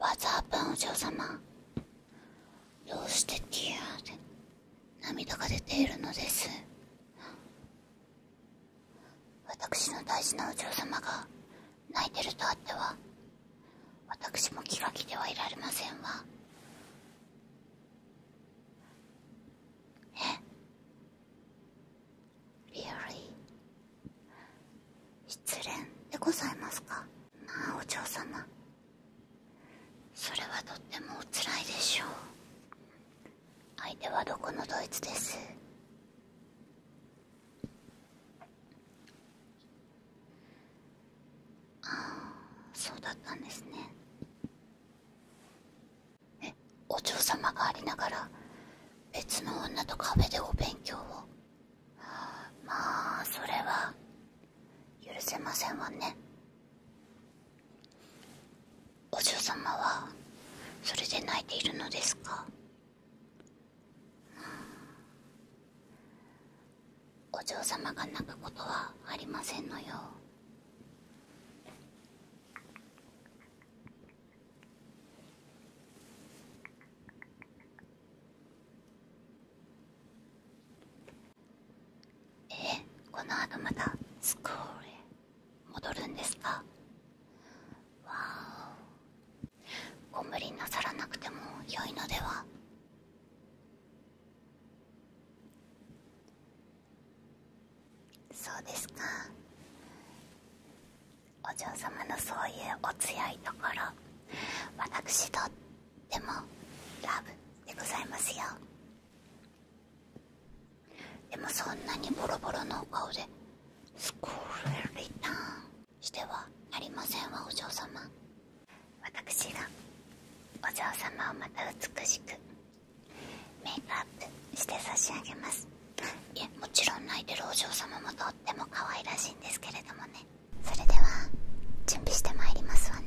わざわぶんお嬢様どうしてティアで涙が出ているのです私の大事なお嬢様が泣いてるとあっては私も気が気ではいられませんわえ r e a l l 失恋でございますかまあお嬢様それはとってもおつらいでしょう相手はどこのドイツですああそうだったんですねえお嬢様がありながら別の女とカフェでお勉強をまあそれは許せませんわねお嬢様はそれで泣いているのですか、うん、お嬢様が泣くことはありませんのよえこの後またスクールへ戻るんですかわおご無理なさらなくても良いのではそうですかお嬢様のそういうお強いところ私とってもラブでございますよでもそんなにボロボロのお顔でスクールリターンしてはなりませんわお嬢様私がお嬢様をまた美しくメイクアップして差し上げますいえもちろん泣いてるお嬢様もとっても可愛らしいんですけれどもねそれでは準備してまいりますわね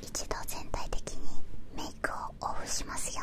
一度全体的にメイクをオフしますよ。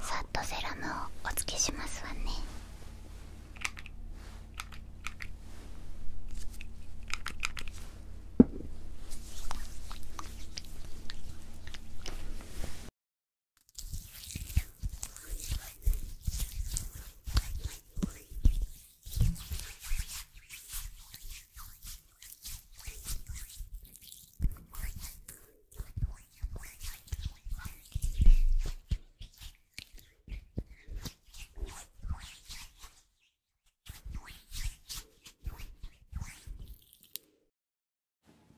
さっとセロムをおつけしますわね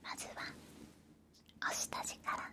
まずはお下地から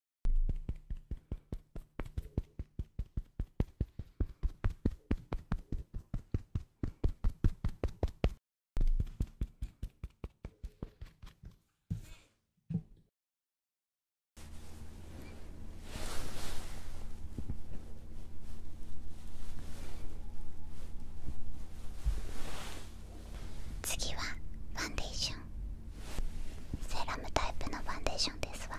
次はファンデーションセラムタイプのファンデーションですわ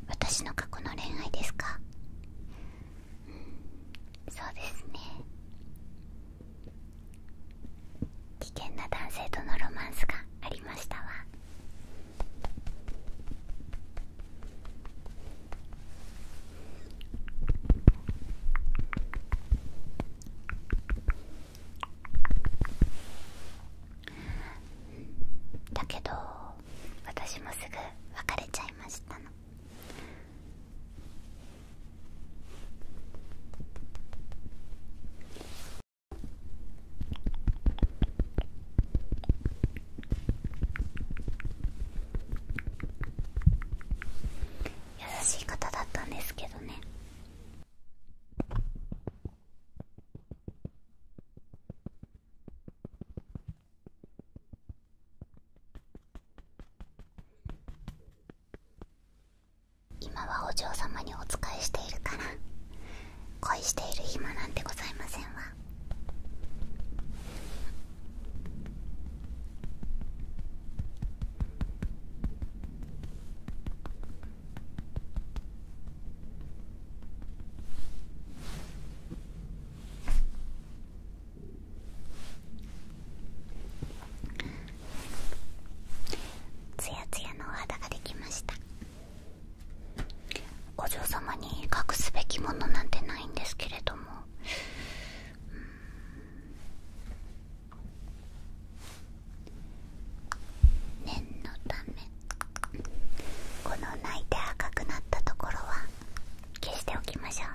私の過去の恋愛ですかうんそうですね危険な男性とのロマンスがありましたわだけど私もすぐ別れちゃいましたの優しい方だったんですけどね今はお嬢様にお仕えしているから恋している暇なんてございませんわツヤツヤのお肌ができましたお嬢様に隠すべきものなんてないんですけれども念のためこの泣いて赤くなったところは消しておきましょう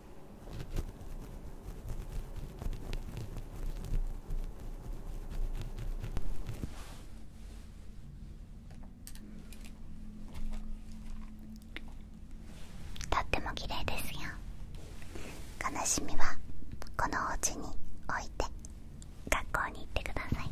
とっても綺麗ですよ悲しみはこのお家に置いて学校に行ってください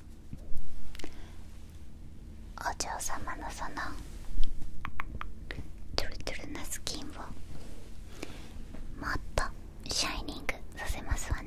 お嬢様のそのトゥルトゥルなスキンをもっとシャイニングさせますわね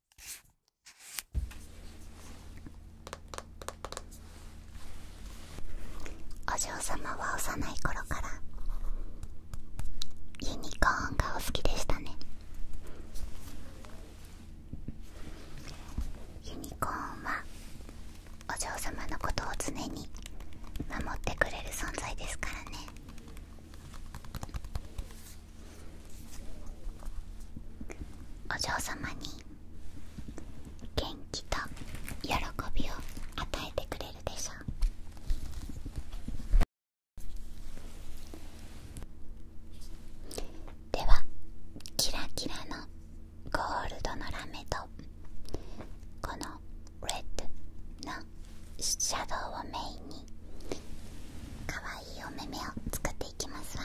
お嬢様は幼い頃からユニコーンがお好きでしたねユニコーンはお嬢様のことを常に守ってくれる存在ですからねお嬢様に元気と喜びを与えてくれるでしょうではキラキラのゴールドのラメとこのレッドのシャドウをメインに可愛いお目目を作っていきます。ていきますわ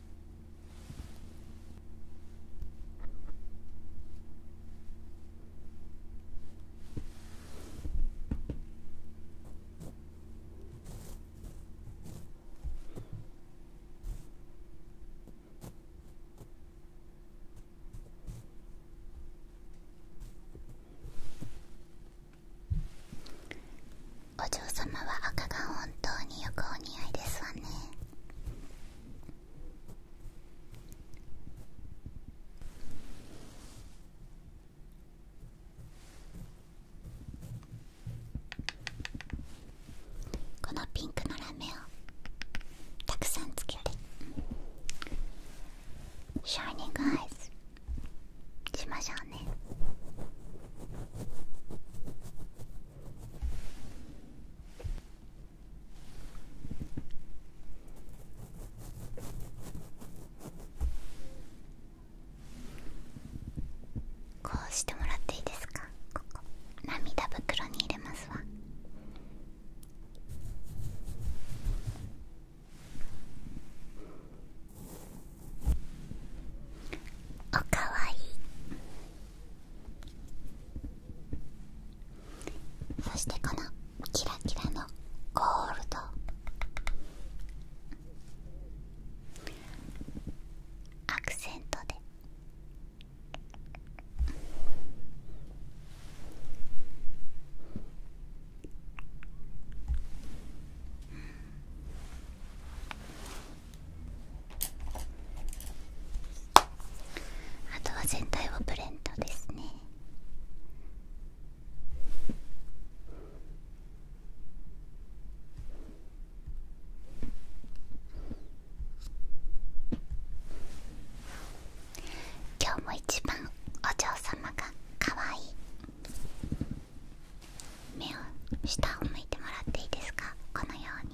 お嬢様は赤が本当によくお似合いですわねこのピンクのラメをたくさんつけてシャイニングアイズしましょうねこうしてもらっていいですかここ涙袋に入れますわおかわいいそしてこのキラキラのゴールドアクセントであとは全体をブレンドですね今日も一番お嬢様が可愛い目を下を向いてもらっていいですかこのように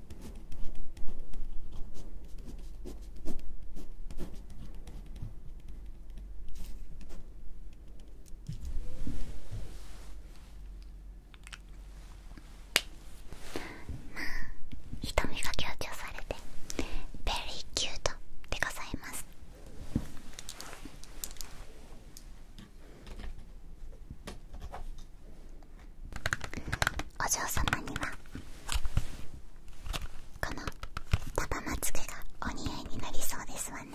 まあ瞳が強調されてベリーキュートでございますお嬢様にはこのパパまつげがお似合いになりそうですわね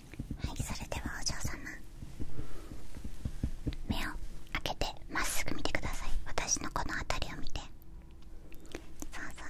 はいそれではお嬢様目を開けてまっすぐ見てください私のこの辺りを見てそうそうそうそう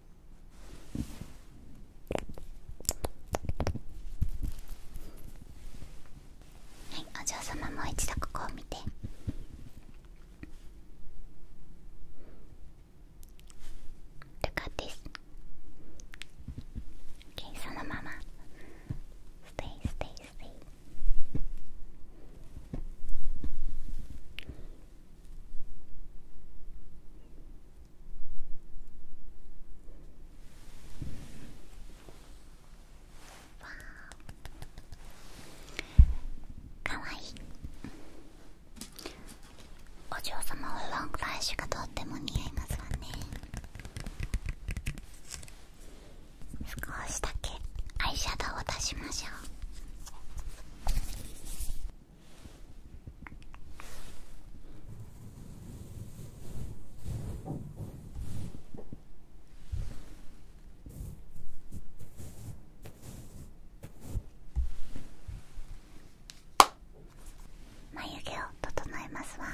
はいお嬢様もう一度ここを見てルカです、o k そのままステイステイステイかわいいお嬢様はロングラッシュがとっても似合いますわね少しだけアイシャドウを出しましょう眉毛を整えますわ。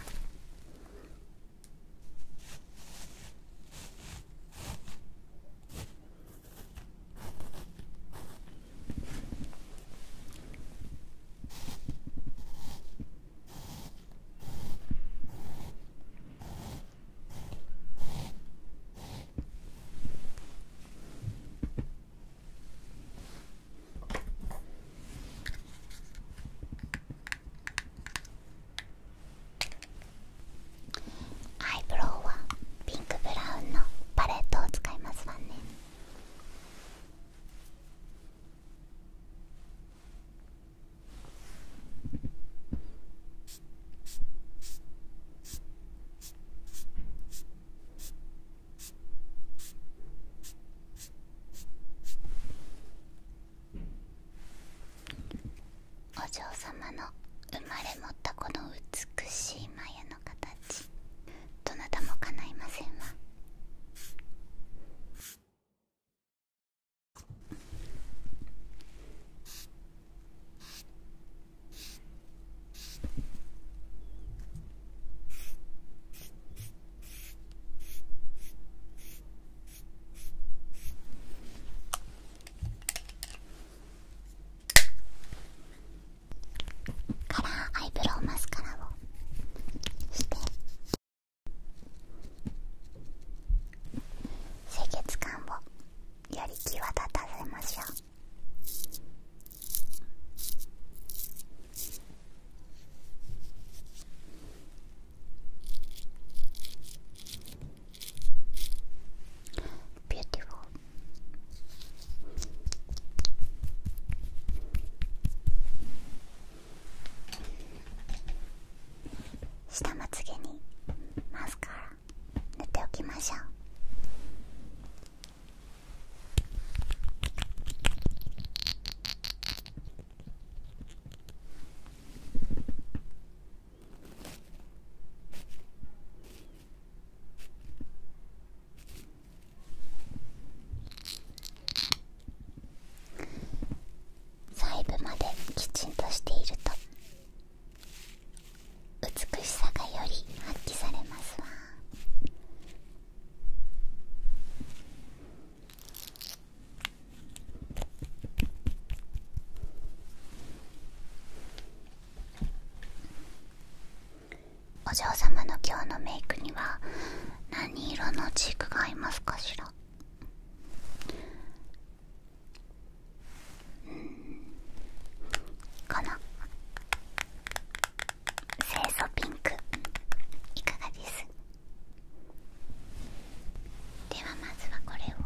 アイブロウはピンクブラウンのパレットを使いますわねお嬢様の生まれ持ったこの美しい眉の形どなたも叶いませんわカラーアイブロウマスカラをして清潔感をより際立たせましょう。ビューティフ f u 下まつげにマスカラ塗っておきましょう細部まできちんとしていると美しさがより発揮されますわお嬢様の今日のメイクには何色のチークが合いますかしらうんこの清楚ピンクいかがですではまずはこれを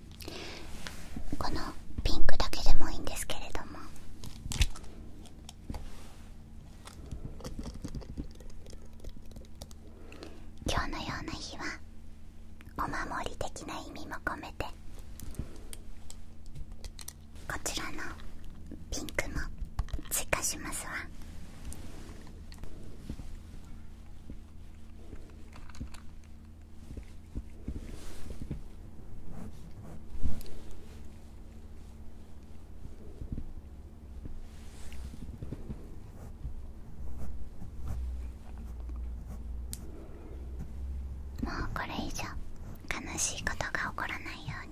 このピンクだけでもいいんですけれども今日のような日はお守り的な意味も込めてこちらのピンクも追加しますわ。もうこれ以上悲しいことが起こらないように。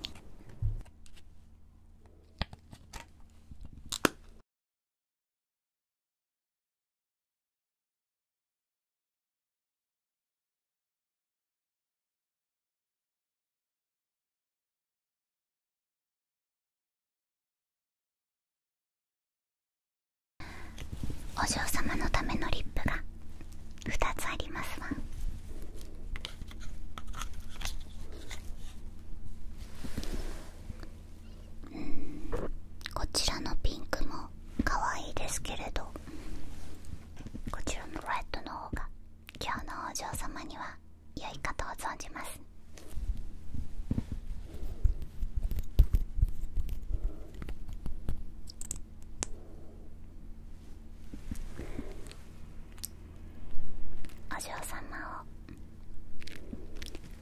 お嬢様のためのリップが2つありますわうんこちらのピンクもも可愛いですけれどこちらのレットの方が今日のお嬢様には良いかと存じますお嬢様を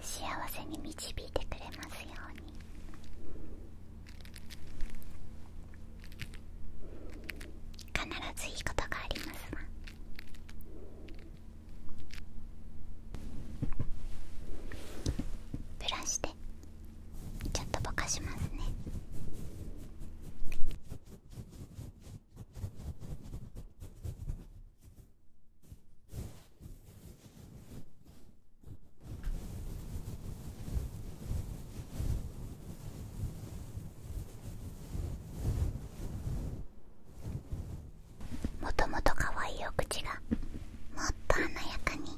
幸せに導いてくれますように。必ずいいことがありますわブラシでちょっとぼかしますねもともと可愛いお口がもっと華やかに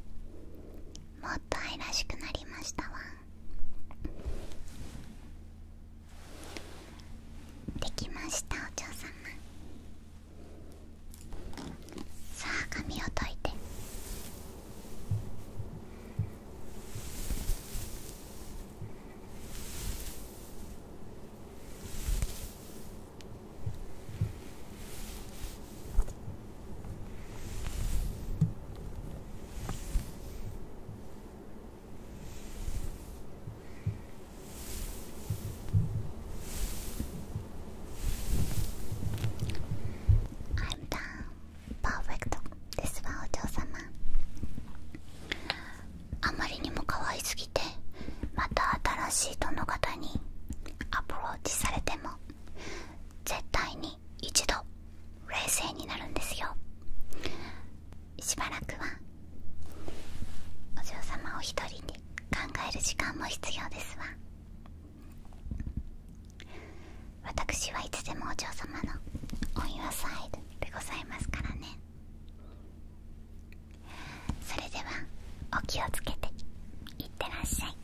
もっと愛らしくなりましたわできましたお嬢様さあ髪を解いてパーフェクトですわお嬢様あまりにも可愛すぎてまた新しい殿方にアプローチされても絶対に一度冷静になるんですよしばらくはお嬢様お一人に考える時間も必要ですわ私はいつでもお嬢様のお祝ユア・サイドでございますからねそれではお気をつけていってらっしゃい